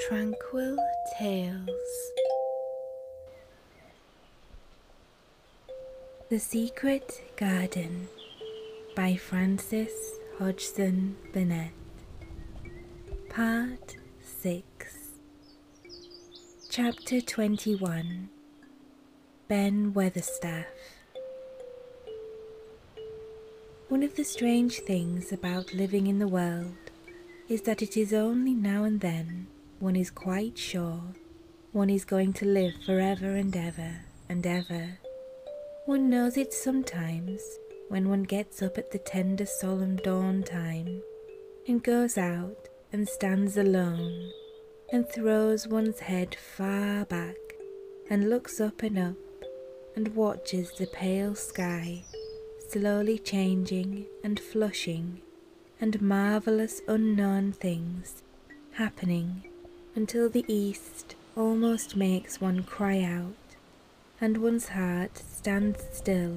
Tranquil Tales The Secret Garden by Frances Hodgson Burnett Part 6 Chapter 21 Ben Weatherstaff one of the strange things about living in the world is that it is only now and then one is quite sure one is going to live for ever and ever and ever. One knows it sometimes when one gets up at the tender solemn dawn time and goes out and stands alone and throws one's head far back and looks up and up and watches the pale sky slowly changing and flushing, and marvellous unknown things happening until the east almost makes one cry out, and one's heart stands still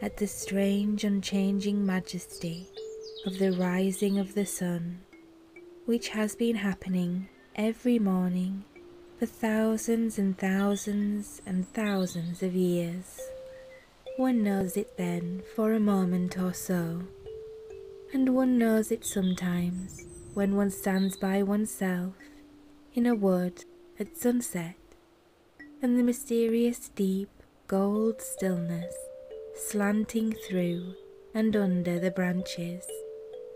at the strange unchanging majesty of the rising of the sun, which has been happening every morning for thousands and thousands and thousands of years. One knows it then for a moment or so, and one knows it sometimes when one stands by oneself in a wood at sunset, in the mysterious deep gold stillness slanting through and under the branches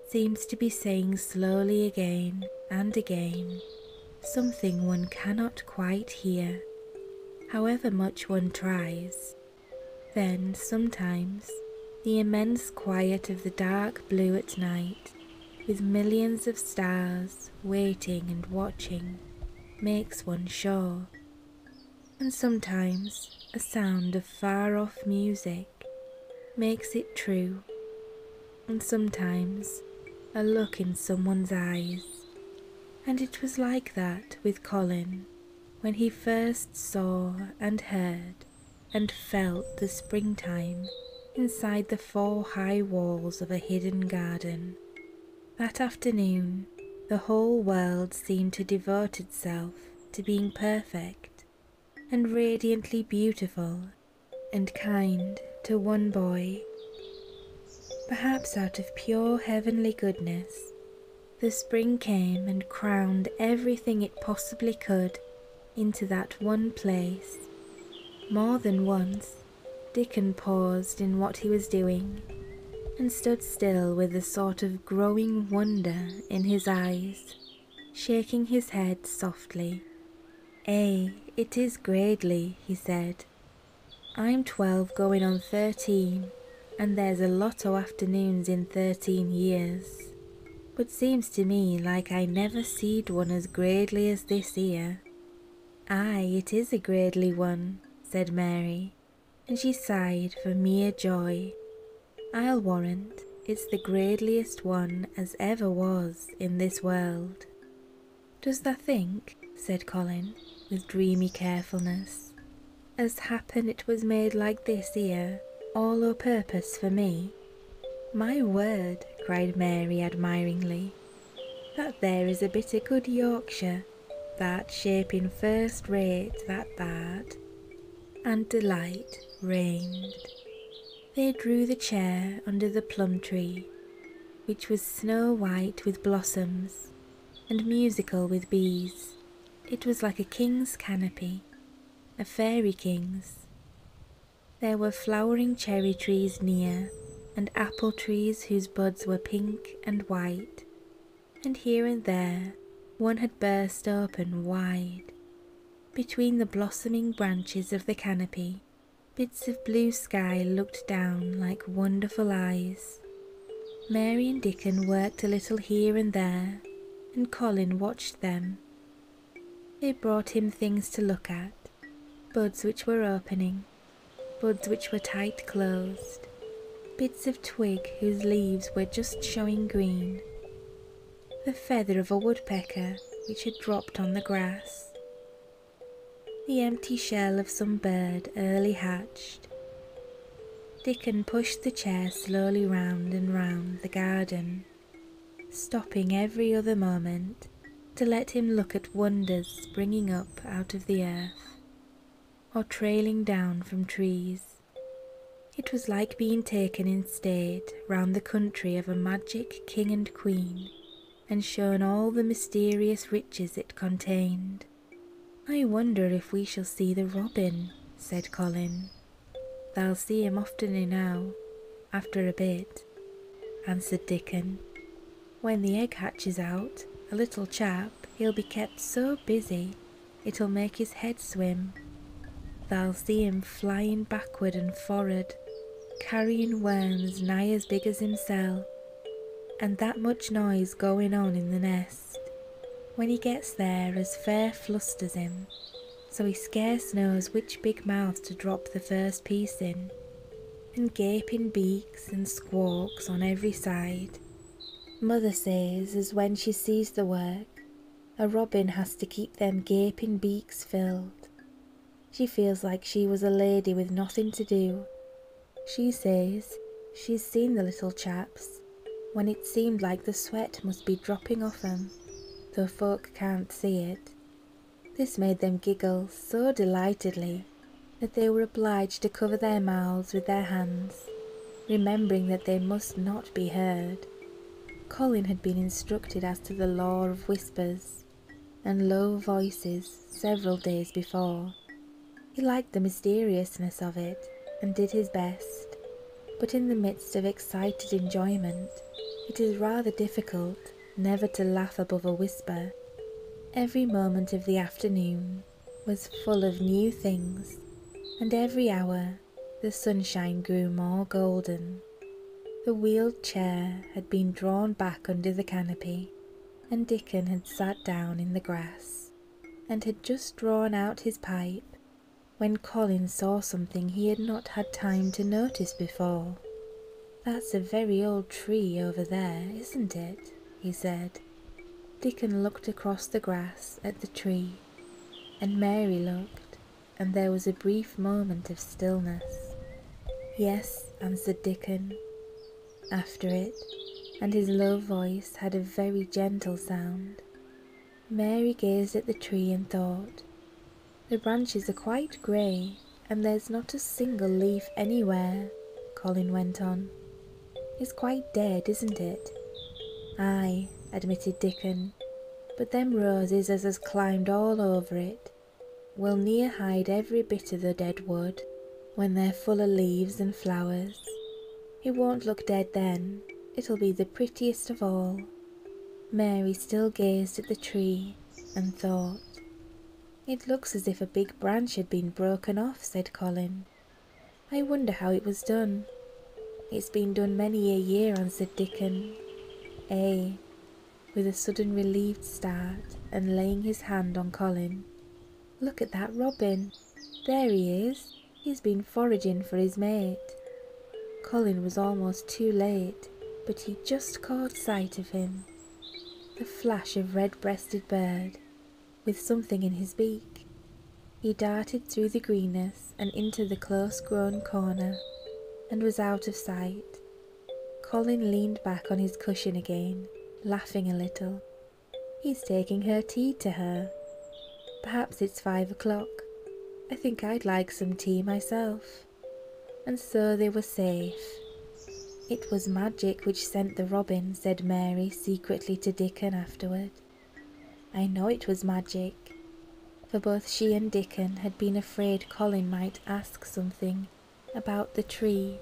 seems to be saying slowly again and again something one cannot quite hear, however much one tries. Then, sometimes, the immense quiet of the dark blue at night, with millions of stars waiting and watching, makes one sure. And sometimes, a sound of far off music makes it true, and sometimes a look in someone's eyes. And it was like that with Colin when he first saw and heard and felt the springtime inside the four high walls of a hidden garden. That afternoon, the whole world seemed to devote itself to being perfect and radiantly beautiful and kind to one boy. Perhaps out of pure heavenly goodness, the spring came and crowned everything it possibly could into that one place. More than once, Dickon paused in what he was doing and stood still with a sort of growing wonder in his eyes shaking his head softly. "Ay, eh, it is gradely," he said. "I'm twelve going on thirteen, and there's a lot o' afternoons in thirteen years, but seems to me like I never seed one as gradely as this 'ere." "Ay, it is a gradely one," said Mary, and she sighed for mere joy. "I'll warrant it's the gradeliest one as ever was." in this world. Does thou think, said Colin, with dreamy carefulness, as happen it was made like this here, all o' purpose for me? My word, cried Mary admiringly, that there is a bit o' good Yorkshire, that shaping first rate, that that, and delight reigned. They drew the chair under the plum tree, which was snow white with blossoms and musical with bees. It was like a king's canopy, a fairy king's. There were flowering cherry trees near, and apple trees whose buds were pink and white, and here and there one had burst open wide, between the blossoming branches of the canopy, bits of blue sky looked down like wonderful eyes. Mary and Dickon worked a little here and there, and Colin watched them. They brought him things to look at, buds which were opening, buds which were tight closed, bits of twig whose leaves were just showing green, the feather of a woodpecker which had dropped on the grass, the empty shell of some bird early hatched. Dickon pushed the chair slowly round and round the garden, stopping every other moment to let him look at wonders springing up out of the earth or trailing down from trees. It was like being taken in and stayed round the country of a magic king and queen and shown all the mysterious riches it contained. I wonder if we shall see the robin, said Colin. Thou'll see him often enow, after a bit, answered Dickon. When the egg hatches out, a little chap, he'll be kept so busy it'll make his head swim. Thou'll see him flying backward and forward, carrying worms nigh as big as himself, and that much noise going on in the nest. When he gets there, as fair flusters him, so he scarce knows which big mouth to drop the first piece in, and gaping beaks and squawks on every side. Mother says as when she sees the work, a robin has to keep them gaping beaks filled. She feels like she was a lady with nothing to do. She says she's seen the little chaps when it seemed like the sweat must be dropping off them, though folk can't see it. This made them giggle so delightedly that they were obliged to cover their mouths with their hands, remembering that they must not be heard, Colin had been instructed as to the law of whispers and low voices several days before. He liked the mysteriousness of it and did his best, but in the midst of excited enjoyment, it is rather difficult never to laugh above a whisper. Every moment of the afternoon was full of new things, and every hour the sunshine grew more golden. The wheeled chair had been drawn back under the canopy, and Dickon had sat down in the grass, and had just drawn out his pipe, when Colin saw something he had not had time to notice before. That's a very old tree over there, isn't it? he said. Dickon looked across the grass at the tree, and Mary looked, and there was a brief moment of stillness. Yes, answered Dickon. After it, and his low voice had a very gentle sound. Mary gazed at the tree and thought, The branches are quite grey, and there's not a single leaf anywhere, Colin went on. It's quite dead, isn't it? Ay admitted Dickon, but them roses as has climbed all over it will near hide every bit o' the dead wood when they're full o' leaves and flowers. It won't look dead then, it'll be the prettiest of all. Mary still gazed at the tree and thought. It looks as if a big branch had been broken off, said Colin. I wonder how it was done. It's been done many a year, answered Dickon. Ay, eh, with a sudden relieved start and laying his hand on Colin. Look at that robin. There he is. He's been foraging for his mate. Colin was almost too late, but he just caught sight of him. The flash of red-breasted bird, with something in his beak. He darted through the greenness and into the close-grown corner, and was out of sight. Colin leaned back on his cushion again, laughing a little. He's taking her tea to her. Perhaps it's five o'clock. I think I'd like some tea myself. And so they were safe. It was magic which sent the robin, said Mary secretly to Dickon afterward. I know it was magic for both she and Dickon had been afraid Colin might ask something about the tree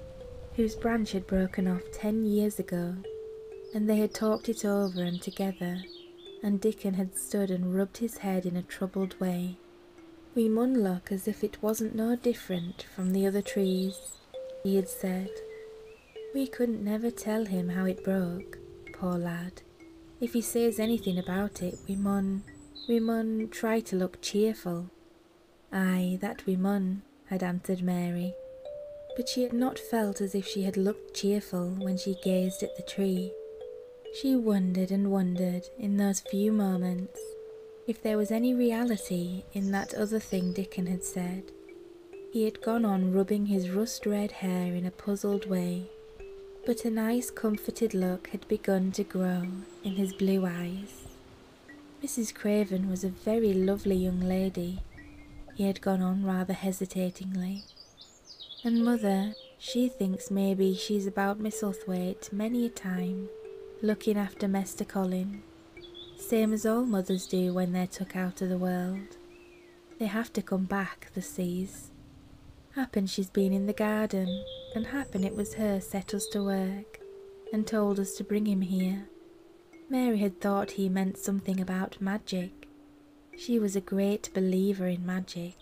whose branch had broken off ten years ago, and they had talked it over and together, and Dickon had stood and rubbed his head in a troubled way. We mun look as if it wasn't no different from the other trees, he had said. We couldn't never tell him how it broke, poor lad. If he says anything about it, we mun, we mun try to look cheerful. Ay, that we mun, had answered Mary, but she had not felt as if she had looked cheerful when she gazed at the tree. She wondered and wondered in those few moments if there was any reality in that other thing Dickon had said. He had gone on rubbing his rust red hair in a puzzled way but a nice comforted look had begun to grow in his blue eyes. Mrs. Craven was a very lovely young lady, he had gone on rather hesitatingly. And mother, she thinks maybe she's about Misselthwaite many a time, looking after Mester Colin, same as all mothers do when they're took out of the world. They have to come back, the seas, Happen she's been in the garden, and happen it was her set us to work, and told us to bring him here. Mary had thought he meant something about magic. She was a great believer in magic.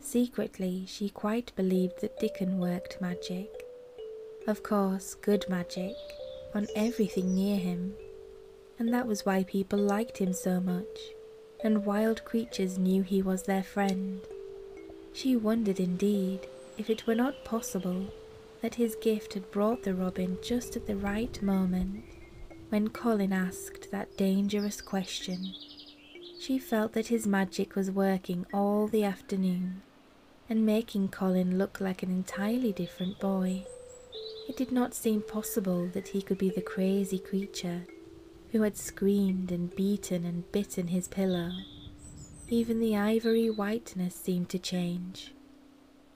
Secretly, she quite believed that Dickon worked magic. Of course, good magic, on everything near him. And that was why people liked him so much, and wild creatures knew he was their friend. She wondered indeed if it were not possible that his gift had brought the robin just at the right moment when Colin asked that dangerous question. She felt that his magic was working all the afternoon and making Colin look like an entirely different boy. It did not seem possible that he could be the crazy creature who had screamed and beaten and bitten his pillow. Even the ivory whiteness seemed to change.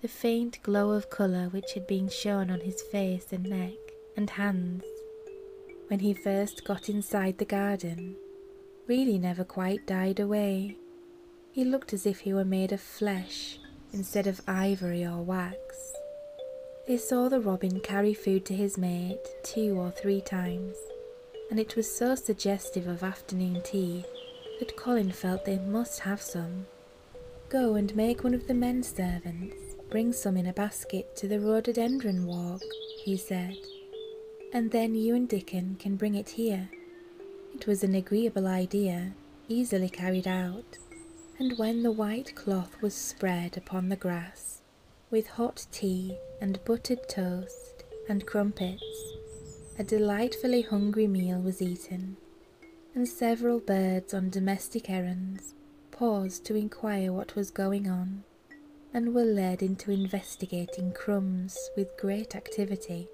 The faint glow of colour which had been shown on his face and neck and hands when he first got inside the garden really never quite died away. He looked as if he were made of flesh instead of ivory or wax. They saw the robin carry food to his mate two or three times, and it was so suggestive of afternoon tea that Colin felt they must have some. Go and make one of the men servants bring some in a basket to the rhododendron walk, he said, and then you and Dickon can bring it here. It was an agreeable idea, easily carried out, and when the white cloth was spread upon the grass, with hot tea and buttered toast and crumpets, a delightfully hungry meal was eaten, and several birds on domestic errands paused to inquire what was going on, and were led into investigating crumbs with great activity.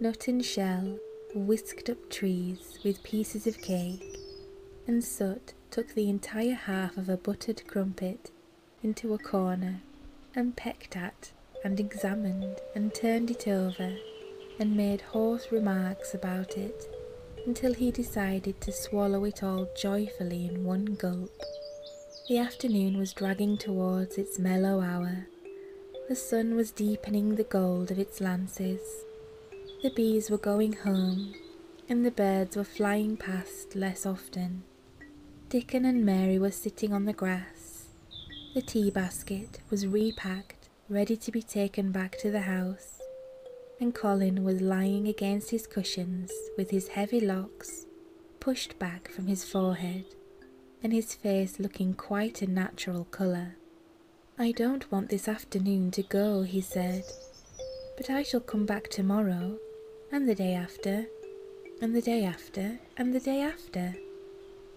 Nut and shell whisked up trees with pieces of cake, and soot took the entire half of a buttered crumpet into a corner and pecked at and examined and turned it over and made hoarse remarks about it until he decided to swallow it all joyfully in one gulp. The afternoon was dragging towards its mellow hour. The sun was deepening the gold of its lances. The bees were going home, and the birds were flying past less often. Dickon and Mary were sitting on the grass. The tea basket was repacked, ready to be taken back to the house, and Colin was lying against his cushions with his heavy locks pushed back from his forehead and his face looking quite a natural colour. I don't want this afternoon to go, he said, but I shall come back tomorrow, and the day after, and the day after, and the day after.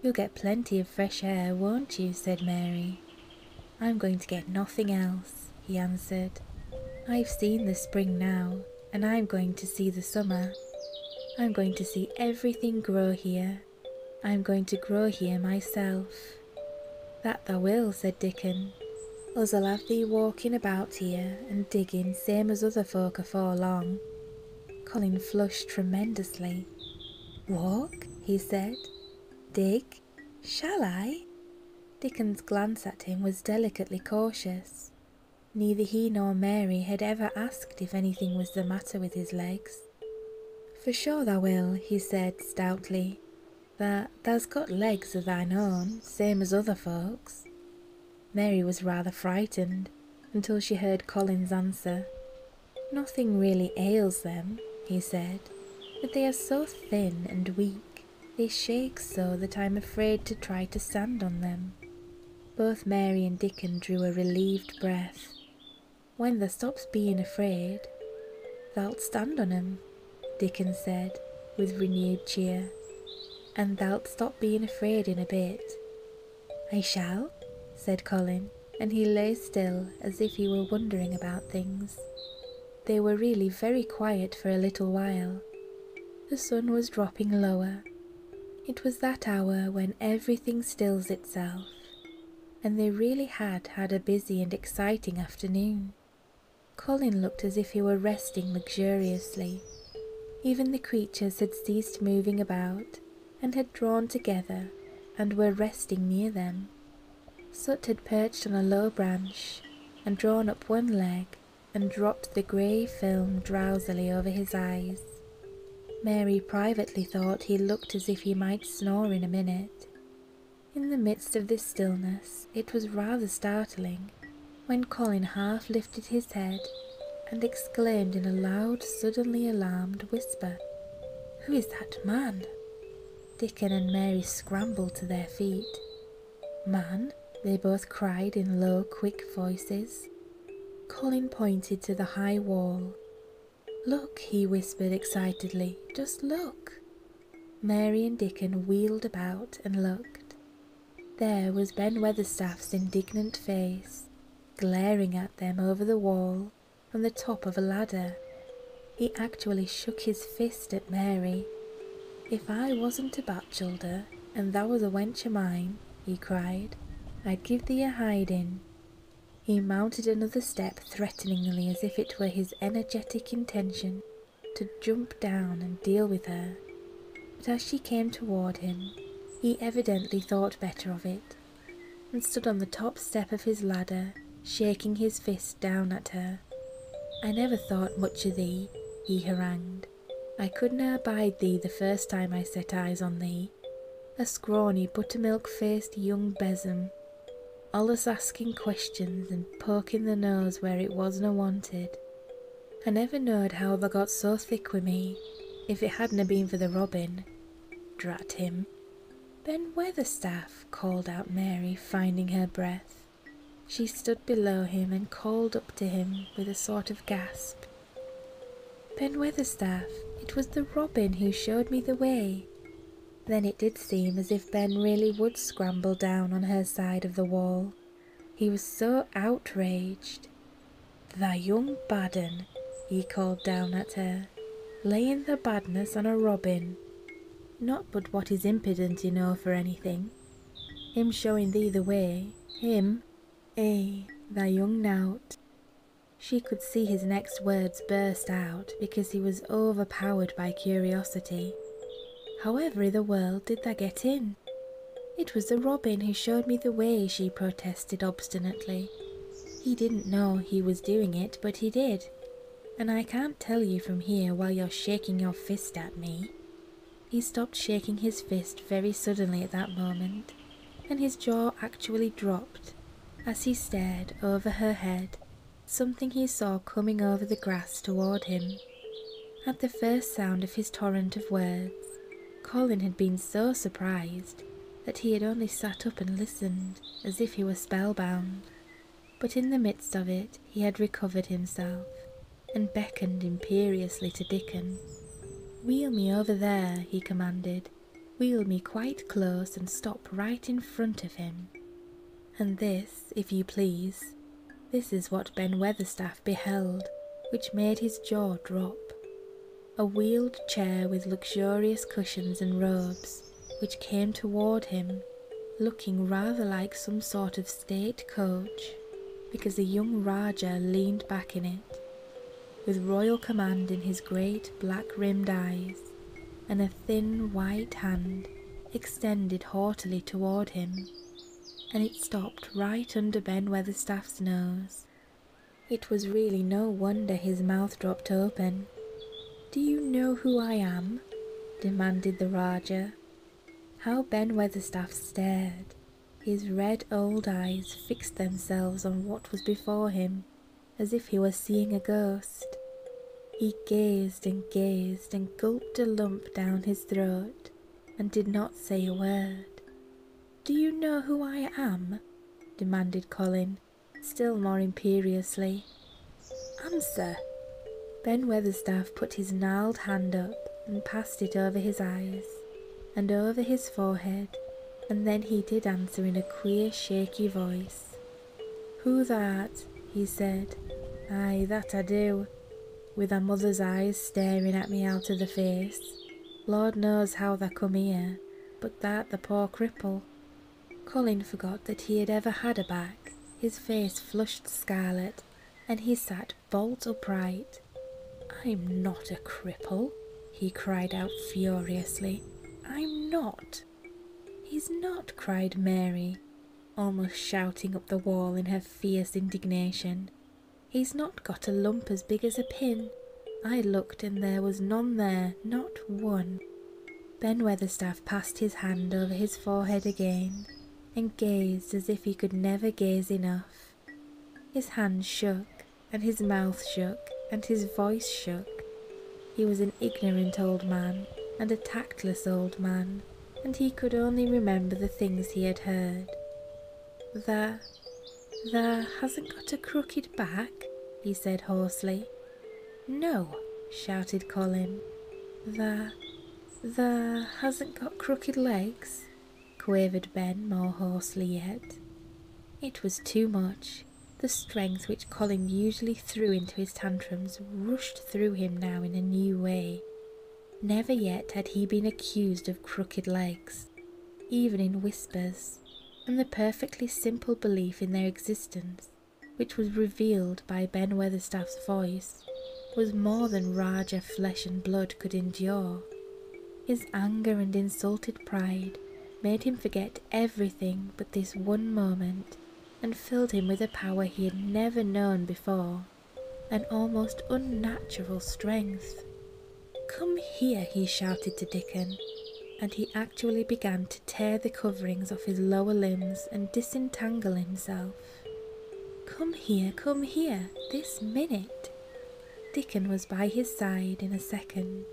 You'll get plenty of fresh air, won't you? said Mary. I'm going to get nothing else, he answered. I've seen the spring now, and I'm going to see the summer. I'm going to see everything grow here. I'm going to grow here myself. That thou will, said Dickon. Us'll have thee walking about here and digging same as other folk afore long. Colin flushed tremendously. Walk? he said. Dig? Shall I? Dickon's glance at him was delicately cautious. Neither he nor Mary had ever asked if anything was the matter with his legs. For sure thou will, he said stoutly that thou got legs o thine own, same as other folks. Mary was rather frightened until she heard Colin's answer. Nothing really ails them, he said, but they are so thin and weak, they shake so that I'm afraid to try to stand on them. Both Mary and Dickon drew a relieved breath. When thou stops being afraid, thas'll stand on on 'em, Dickon said, with renewed cheer, and thou'lt stop being afraid in a bit. I shall, said Colin, and he lay still as if he were wondering about things. They were really very quiet for a little while. The sun was dropping lower. It was that hour when everything stills itself, and they really had had a busy and exciting afternoon. Colin looked as if he were resting luxuriously. Even the creatures had ceased moving about and had drawn together and were resting near them. Soot had perched on a low branch and drawn up one leg and dropped the grey film drowsily over his eyes. Mary privately thought he looked as if he might snore in a minute. In the midst of this stillness, it was rather startling when Colin half lifted his head and exclaimed in a loud, suddenly alarmed whisper, Who is that man? Dickon and Mary scrambled to their feet. Man? they both cried in low, quick voices. Colin pointed to the high wall. Look, he whispered excitedly, just look. Mary and Dickon wheeled about and looked. There was Ben Weatherstaff's indignant face, glaring at them over the wall from the top of a ladder. He actually shook his fist at Mary. If I wasn't a bachelder and thou was a wench o' mine, he cried, I'd give thee a hiding. He mounted another step threateningly as if it were his energetic intention to jump down and deal with her, but as she came toward him, he evidently thought better of it, and stood on the top step of his ladder, shaking his fist down at her. I never thought much o' thee, he harangued. I couldna abide thee the first time I set eyes on thee, a scrawny buttermilk faced young besom allus asking questions and poking the nose where it wasna wanted. I never knowed how they got so thick wi' me, if it hadna been for the robin. Drat him. Ben Weatherstaff, called out Mary, finding her breath. She stood below him and called up to him with a sort of gasp. Ben Weatherstaff, it was the robin who showed me the way. Then it did seem as if Ben really would scramble down on her side of the wall. He was so outraged. Thy young baden, he called down at her, laying the badness on a robin. Not but what he's impident enow for anything. Him showing thee the way, him, ay, eh, thy young knout. She could see his next words burst out because he was overpowered by curiosity However in the world did they get in? It was the robin who showed me the way, she protested obstinately. He didn't know he was doing it, but he did. And I can't tell you from here while you're shaking your fist at me. He stopped shaking his fist very suddenly at that moment, and his jaw actually dropped as he stared over her head something he saw coming over the grass toward him. At the first sound of his torrent of words, Colin had been so surprised that he had only sat up and listened, as if he were spellbound. But in the midst of it, he had recovered himself, and beckoned imperiously to Dickon. Wheel me over there, he commanded. Wheel me quite close and stop right in front of him. And this if you please. This is what Ben Weatherstaff beheld, which made his jaw drop. A wheeled chair with luxurious cushions and robes, which came toward him, looking rather like some sort of state coach, because the young Rajah leaned back in it, with royal command in his great black rimmed eyes, and a thin white hand extended haughtily toward him, and it stopped right under Ben Weatherstaff's nose. It was really no wonder his mouth dropped open. Do you know who I am? demanded the Rajah. How Ben Weatherstaff stared. His red old eyes fixed themselves on what was before him, as if he were seeing a ghost. He gazed and gazed and gulped a lump down his throat and did not say a word. Do you know who I am? demanded Colin, still more imperiously. Answer! Ben Weatherstaff put his gnarled hand up and passed it over his eyes and over his forehead, and then he did answer in a queer, shaky voice. Who that? he said. Ay, that I do, with a mother's eyes staring at me out of the face. Lord knows how they come here, but that the poor cripple. Colin forgot that he had ever had a back. His face flushed scarlet, and he sat bolt upright. I'm not a cripple, he cried out furiously. I'm not. He's not, cried Mary almost shouting up the wall in her fierce indignation. He's not got a lump as big as a pin. I looked and there was none there, not one. Ben Weatherstaff passed his hand over his forehead again and gazed as if he could never gaze enough. His hands shook, and his mouth shook, and his voice shook, he was an ignorant old man and a tactless old man, and he could only remember the things he had heard. There, there hasn't got a crooked back, he said hoarsely. No, shouted Colin. There, there hasn't got crooked legs, quavered Ben more hoarsely yet. It was too much. The strength which Colin usually threw into his tantrums rushed through him now in a new way. Never yet had he been accused of crooked legs, even in whispers, and the perfectly simple belief in their existence, which was revealed by Ben Weatherstaff's voice, was more than Raja flesh and blood could endure. His anger and insulted pride made him forget everything but this one moment and filled him with a power he had never known before, an almost unnatural strength. Come here, he shouted to Dickon, and he actually began to tear the coverings off his lower limbs and disentangle himself. Come here, come here, this minute. Dickon was by his side in a second.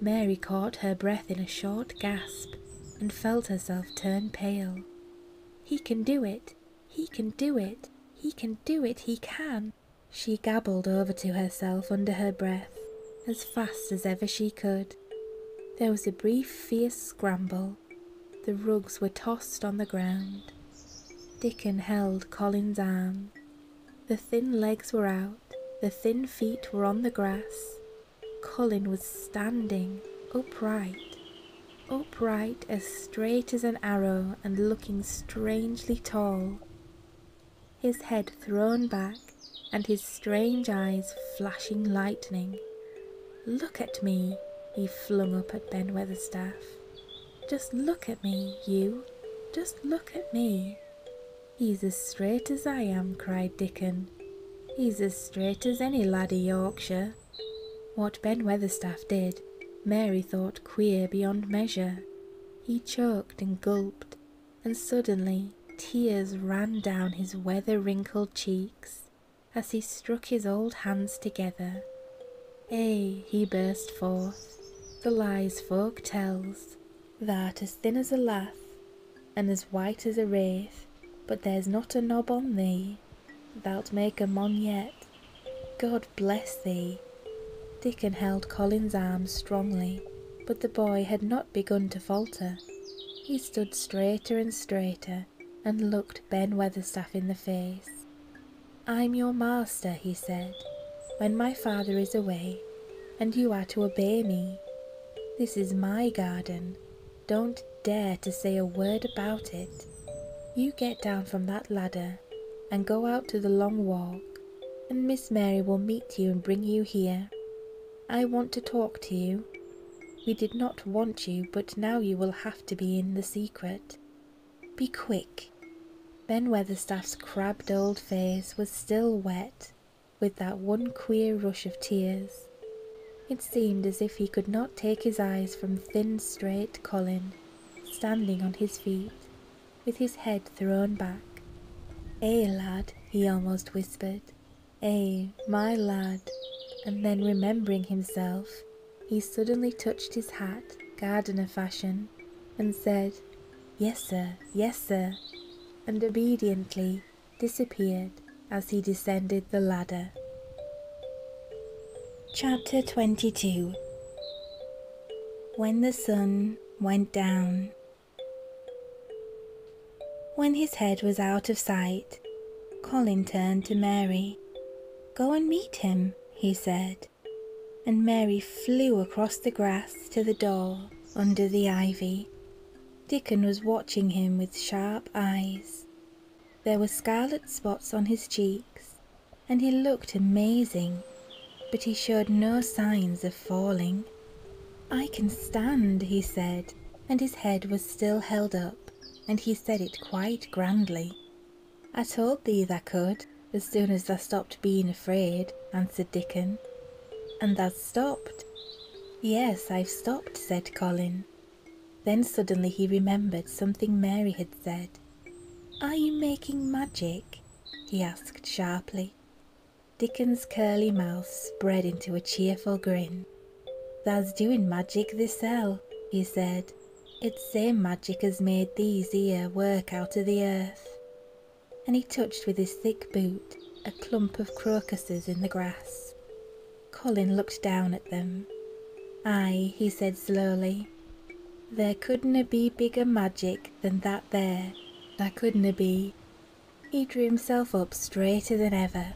Mary caught her breath in a short gasp and felt herself turn pale. He can do it, he can do it, he can do it, he can, she gabbled over to herself under her breath, as fast as ever she could. There was a brief, fierce scramble. The rugs were tossed on the ground. Dickon held Colin's arm. The thin legs were out, the thin feet were on the grass, Colin was standing upright, upright as straight as an arrow and looking strangely tall, his head thrown back and his strange eyes flashing lightning. Look at me, he flung up at Ben Weatherstaff. Just look at me, you. Just look at me. He's as straight as I am, cried Dickon, He's as straight as any lad i' Yorkshire. What Ben Weatherstaff did, Mary thought queer beyond measure. He choked and gulped, and suddenly tears ran down his weather wrinkled cheeks as he struck his old hands together. Ay, eh, he burst forth, the lies folk tells, that as thin as a lath and as white as a wraith but there's not a knob on thee, thou'lt make a mon yet. God bless thee. Dickon held Colin's arm strongly, but the boy had not begun to falter. He stood straighter and straighter, and looked Ben Weatherstaff in the face. I'm your master, he said, when my father is away, and you are to obey me. This is my garden, don't dare to say a word about it. You get down from that ladder and go out to the long walk, and Miss Mary will meet you and bring you here. I want to talk to you. We did not want you, but now you will have to be in the secret. Be quick. Ben Weatherstaff's crabbed old face was still wet with that one queer rush of tears. It seemed as if he could not take his eyes from thin, straight Colin, standing on his feet, with his head thrown back. Eh, lad, he almost whispered. Eh, my lad. And then remembering himself, he suddenly touched his hat, gardener fashion, and said, Yes, sir, yes, sir. And obediently disappeared as he descended the ladder. Chapter 22 When the sun went down. When his head was out of sight, Colin turned to Mary. Go and meet him, he said, and Mary flew across the grass to the door under the ivy. Dickon was watching him with sharp eyes. There were scarlet spots on his cheeks, and he looked amazing, but he showed no signs of falling. I can stand, he said, and his head was still held up, and he said it quite grandly. I told thee thou could, as soon as thou stopped being afraid, answered Dickon. And thou stopped, Yes, I've stopped, said Colin. Then suddenly he remembered something Mary had said. Are you making magic? he asked sharply. Dickon's curly mouth spread into a cheerful grin. Tha's doing magic thisel, he said. It's same magic as made these ere work out o' the earth. And he touched with his thick boot a clump of crocuses in the grass. Colin looked down at them. Ay, he said slowly, there couldna be bigger magic than that there. There couldna be. He drew himself up straighter than ever.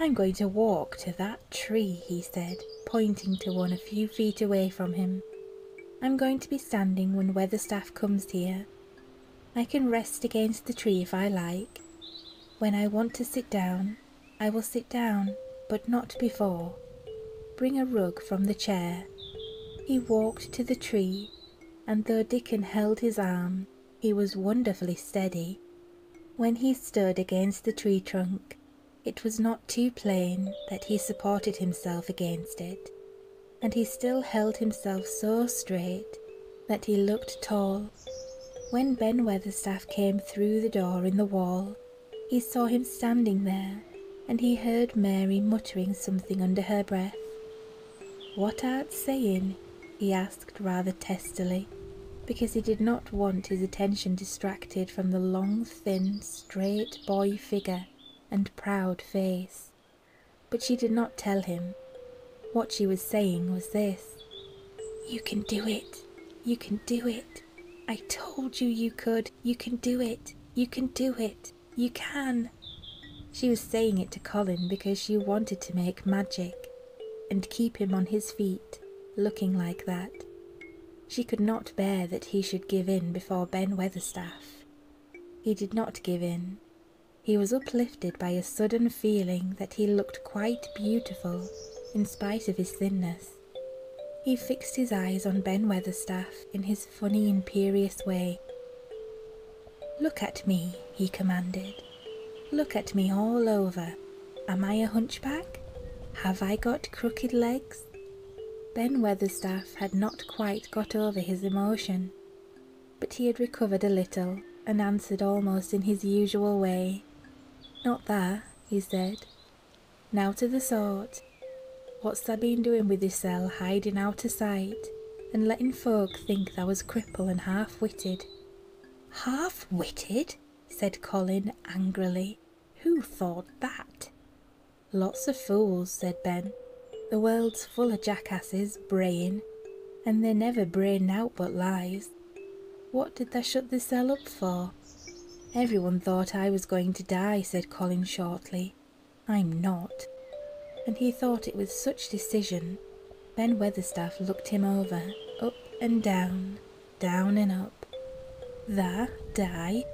I'm going to walk to that tree, he said, pointing to one a few feet away from him. I'm going to be standing when Weatherstaff comes here. I can rest against the tree if I like. When I want to sit down, I will sit down, but not before. Bring a rug from the chair. He walked to the tree, and though Dickon held his arm, he was wonderfully steady. When he stood against the tree trunk, it was not too plain that he supported himself against it, and he still held himself so straight that he looked tall when Ben Weatherstaff came through the door in the wall, he saw him standing there, and he heard Mary muttering something under her breath. What art saying? he asked rather testily, because he did not want his attention distracted from the long, thin, straight boy figure and proud face. But she did not tell him. What she was saying was this You can do it. You can do it. I told you you could. You can do it. You can do it. You can. She was saying it to Colin because she wanted to make magic and keep him on his feet, looking like that. She could not bear that he should give in before Ben Weatherstaff. He did not give in, he was uplifted by a sudden feeling that he looked quite beautiful in spite of his thinness. He fixed his eyes on Ben Weatherstaff in his funny, imperious way. Look at me, he commanded. Look at me all over. Am I a hunchback? Have I got crooked legs? Ben Weatherstaff had not quite got over his emotion but he had recovered a little and answered almost in his usual way. Not that, he said. Now to the sort. What's thou been doing with thysen hiding out o' sight, and letting folk think thou was cripple and half-witted? Half-witted? said Colin angrily. Who thought that? Lots of fools, said Ben. The world's full o' jackasses braying, and they never bray now but lies. What did they shut the cell up for? Every one thought I was going to die, said Colin shortly. I'm not. And he thought it with such decision. Ben Weatherstaff looked him over, up and down, down and up. Tha, die,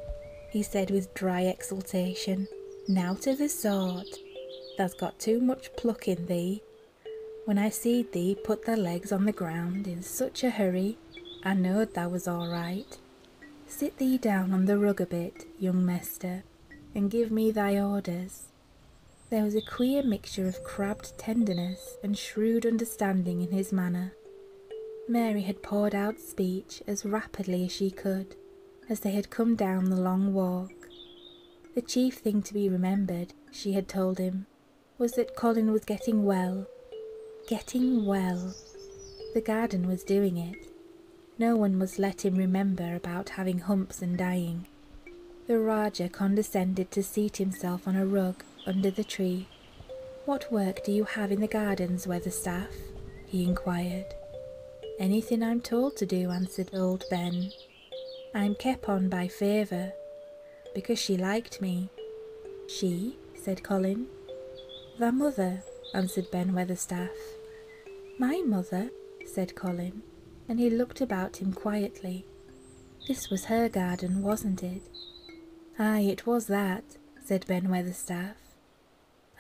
he said with dry exultation. Now to the sort Tha's got too much pluck in thee, when I seed thee put thy legs on the ground in such a hurry, I knowed thou was all right. Sit thee down on the rug a bit, young mester, and give me thy orders. There was a queer mixture of crabbed tenderness and shrewd understanding in his manner. Mary had poured out speech as rapidly as she could, as they had come down the long walk. The chief thing to be remembered, she had told him, was that Colin was getting well. Getting well. The garden was doing it. No one must let him remember about having humps and dying. The Rajah condescended to seat himself on a rug under the tree. What work do you have in the gardens, Weatherstaff? he inquired. Anything I'm told to do, answered old Ben. I'm on by favour, because she liked me. She? said Colin. Thy mother, answered Ben Weatherstaff. My mother, said Colin, and he looked about him quietly. This was her garden, wasn't it? Ay, it was that, said Ben Weatherstaff.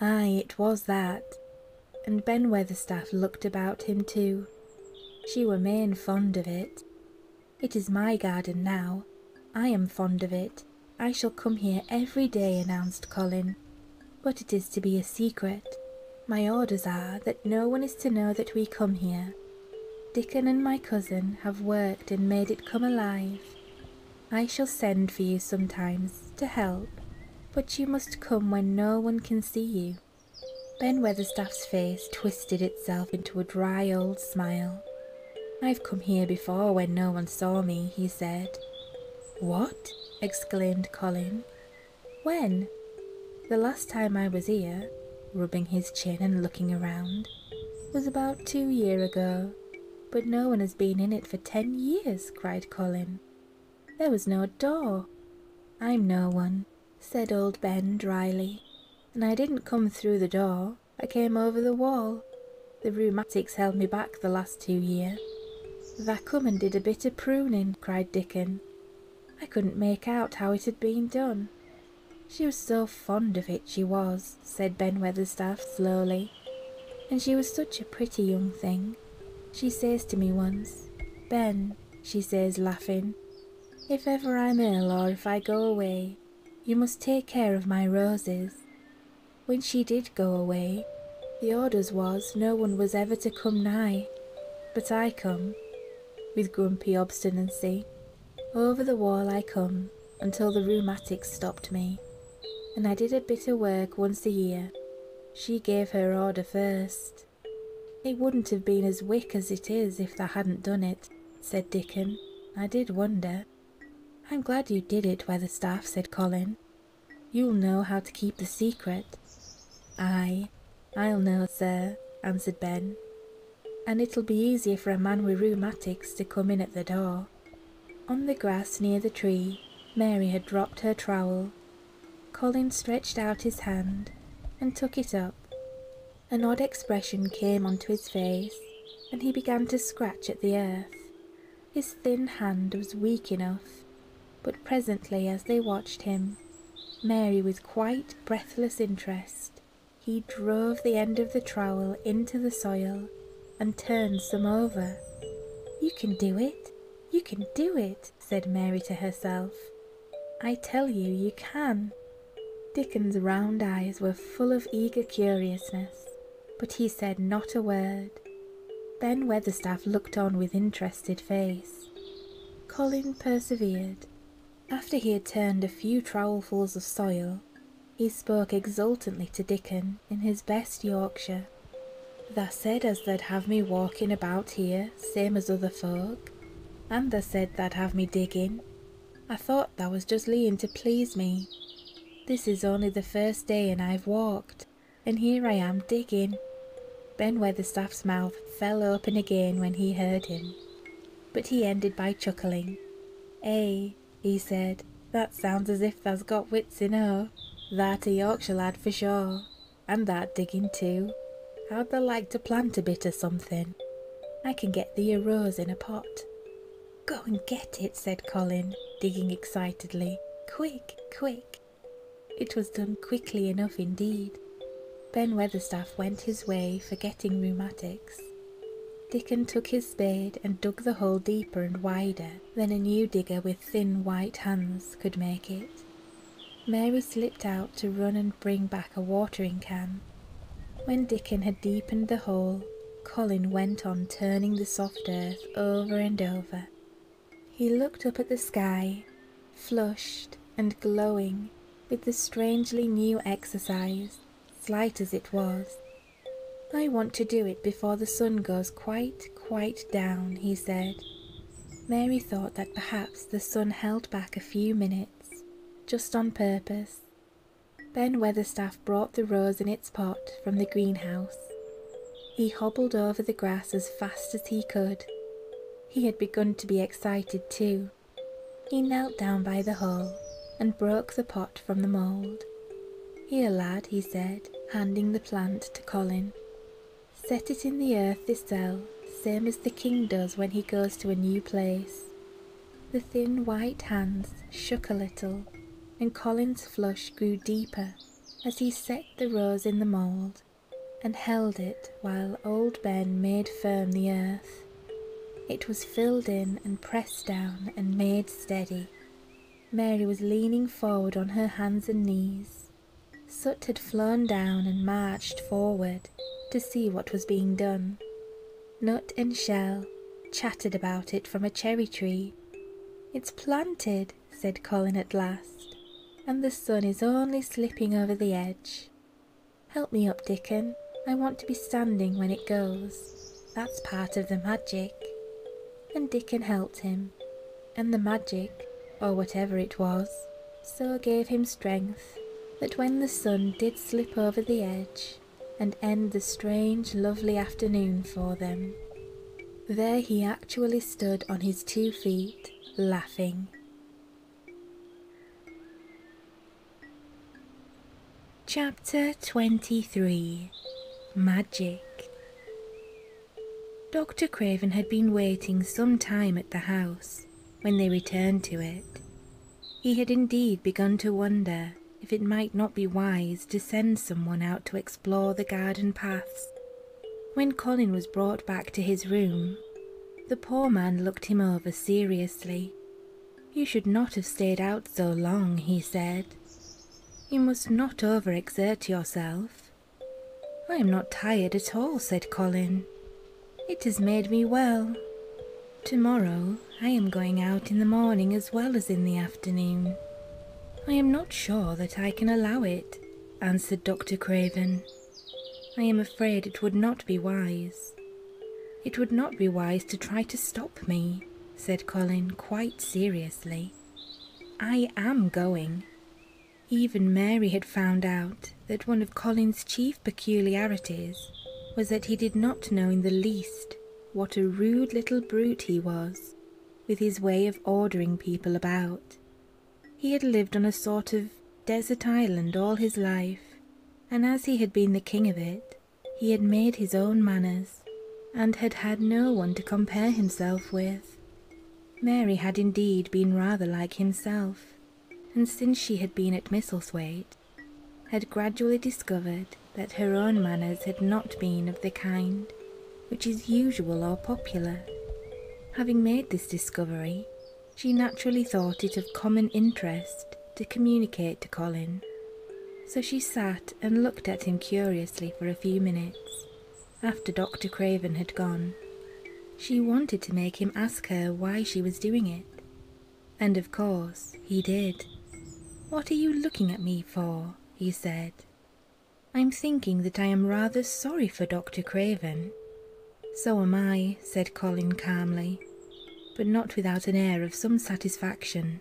Ay, it was that. And Ben Weatherstaff looked about him too. She were main fond of it. It is my garden now. I am fond of it. I shall come here every day, announced Colin. But it is to be a secret. My orders are that no one is to know that we come here. Dickon and my cousin have worked and made it come alive. I shall send for you sometimes to help, but you must come when no one can see you. Ben Weatherstaff's face twisted itself into a dry old smile. I've come here before when no one saw me, he said. What? exclaimed Colin. When? The last time I was here, rubbing his chin and looking around, was about two year ago. But no one has been in it for ten years, cried Colin. There was no door. I'm no one said old Ben dryly, and I didn't come through the door, I came over the wall. The rheumatics held me back the last two year. Tha come and did a bit o' pruning, cried Dickon. I couldn't make out how it had been done. She was so fond of it, she was, said Ben Weatherstaff slowly. And she was such a pretty young thing. She says to me once, Ben, she says, laughing. If ever I'm ill or if I go away, you must take care of my roses. When she did go away, the orders was no one was ever to come nigh, but I come, with grumpy obstinacy. Over the wall I come, until the rheumatics stopped me, and I did a bit of work once a year. She gave her order first. It wouldn't have been as wick as it is if thou hadn't done it, said Dickon. I did wonder. I'm glad you did it, Weatherstaff, said Colin. You'll know how to keep the secret. "Ay, I'll know, sir, answered Ben. And it'll be easier for a man with rheumatics to come in at the door. On the grass near the tree, Mary had dropped her trowel Colin stretched out his hand and took it up. An odd expression came onto his face, and he began to scratch at the earth. His thin hand was weak enough, but presently, as they watched him, Mary with quite breathless interest, he drove the end of the trowel into the soil and turns them over. You can do it! You can do it! said Mary to herself. I tell you, you can. Dickon's round eyes were full of eager curiousness, but he said not a word. Then Weatherstaff looked on with interested face. Colin persevered. After he had turned a few trowelfuls of soil, he spoke exultantly to Dickon in his best Yorkshire. Tha said as they'd have me walkin' about here, same as other folk. Anther said tha'd have me dig in. I thought thou was just leeing to please me. This is only the first day and I've walked, and here I am diggin'. Ben Weatherstaff's mouth fell open again when he heard him, but he ended by chuckling. "Eh," he said, "that sounds as if thou's got wits enough. That a Yorkshire lad for sure and that digging too. How'd they like to plant a bit o' something? I can get thee a rose in a pot. Go and get it, said Colin, digging excitedly. Quick, quick. It was done quickly enough indeed. Ben Weatherstaff went his way, forgetting rheumatics. Dickon took his spade and dug the hole deeper and wider than a new digger with thin white hands could make it. Mary slipped out to run and bring back a watering can. When Dickon had deepened the hole, Colin went on turning the soft earth over and over. He looked up at the sky, flushed and glowing with the strangely new exercise, slight as it was. I want to do it before the sun goes quite, quite down, he said, Mary thought that perhaps the sun held back a few minutes, just on purpose. Ben Weatherstaff brought the rose in its pot from the greenhouse. He hobbled over the grass as fast as he could. He had begun to be excited too. He knelt down by the hole and broke the pot from the mould. Here, lad, he said, handing the plant to Colin. Set it in the earth, this same as the king does when he goes to a new place. The thin white hands shook a little, and Colin's flush grew deeper as he set the rose in the mould and held it while old Ben made firm the earth. It was filled in and pressed down and made steady. Mary was leaning forward on her hands and knees, Soot had flown down and marched forward to see what was being done. Nut and Shell chattered about it from a cherry tree. It's planted, said Colin at last, and the sun is only slipping over the edge. Help me up, Dickon. I want to be standing when it goes. That's part of the magic. And Dickon helped him, and the magic, or whatever it was, so gave him strength that when the sun did slip over the edge and end the strange, lovely afternoon for them, there he actually stood on his two feet, laughing. Chapter 23 Magic Dr. Craven had been waiting some time at the house when they returned to it. He had indeed begun to wonder if it might not be wise to send someone out to explore the garden paths. When Colin was brought back to his room, the poor man looked him over seriously. You should not have stayed out so long, he said. You must not overexert yourself. I am not tired at all, said Colin. It has made me well. Tomorrow I am going out in the morning as well as in the afternoon. I am not sure that I can allow it, answered Dr. Craven. I am afraid it would not be wise. It would not be wise to try to stop me, said Colin quite seriously. I am going. Even Mary had found out that one of Colin's chief peculiarities was that he did not know in the least what a rude little brute he was, with his way of ordering people about. He had lived on a sort of desert island all his life, and as he had been the king of it, he had made his own manners, and had had no one to compare himself with. Mary had indeed been rather like himself, and since she had been at Misselthwaite, had gradually discovered that her own manners had not been of the kind which is usual or popular. Having made this discovery, she naturally thought it of common interest to communicate to Colin, so she sat and looked at him curiously for a few minutes, after Dr. Craven had gone. She wanted to make him ask her why she was doing it. And of course, he did. What are you looking at me for? he said. I'm thinking that I am rather sorry for Dr. Craven. So am I, said Colin calmly, but not without an air of some satisfaction.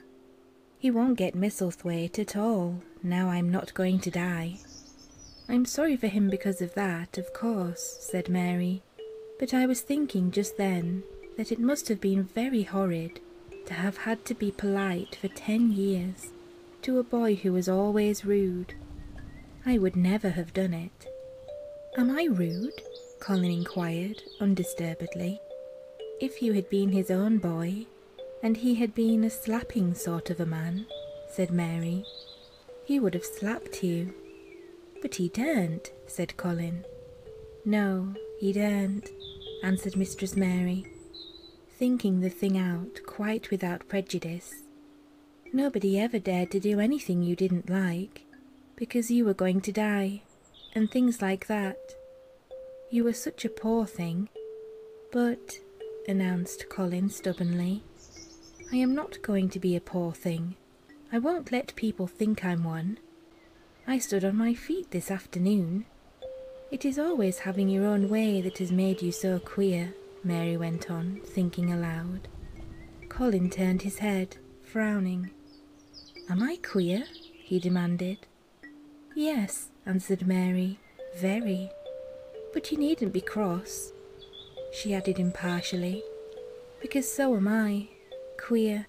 He won't get Misselthwaite at all, now I'm not going to die. I'm sorry for him because of that, of course, said Mary, but I was thinking just then that it must have been very horrid to have had to be polite for ten years to a boy who was always rude. I would never have done it. Am I rude? Colin inquired undisturbedly. If you had been his own boy, and he had been a slapping sort of a man, said Mary, he would have slapped you. But he daren't, said Colin. No, he daren't, answered Mistress Mary, thinking the thing out quite without prejudice. Nobody ever dared to do anything you didn't like, because you were going to die, and things like that. You were such a poor thing. But, announced Colin stubbornly, I am not going to be a poor thing. I won't let people think I'm one. I stood on my feet this afternoon. It is always having your own way that has made you so queer, Mary went on, thinking aloud. Colin turned his head, frowning. Am I queer? he demanded. Yes, answered Mary, very. But you needn't be cross she added impartially, because so am I, queer,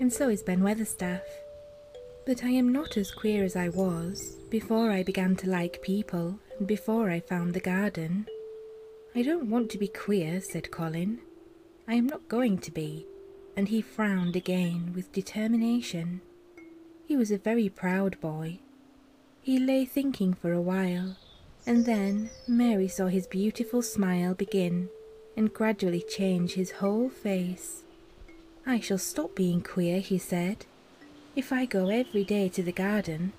and so is Ben Weatherstaff. But I am not as queer as I was before I began to like people and before I found the garden. I don't want to be queer, said Colin. I am not going to be. And he frowned again with determination. He was a very proud boy, he lay thinking for a while, and then Mary saw his beautiful smile begin and gradually change his whole face. I shall stop being queer, he said. If I go every day to the garden,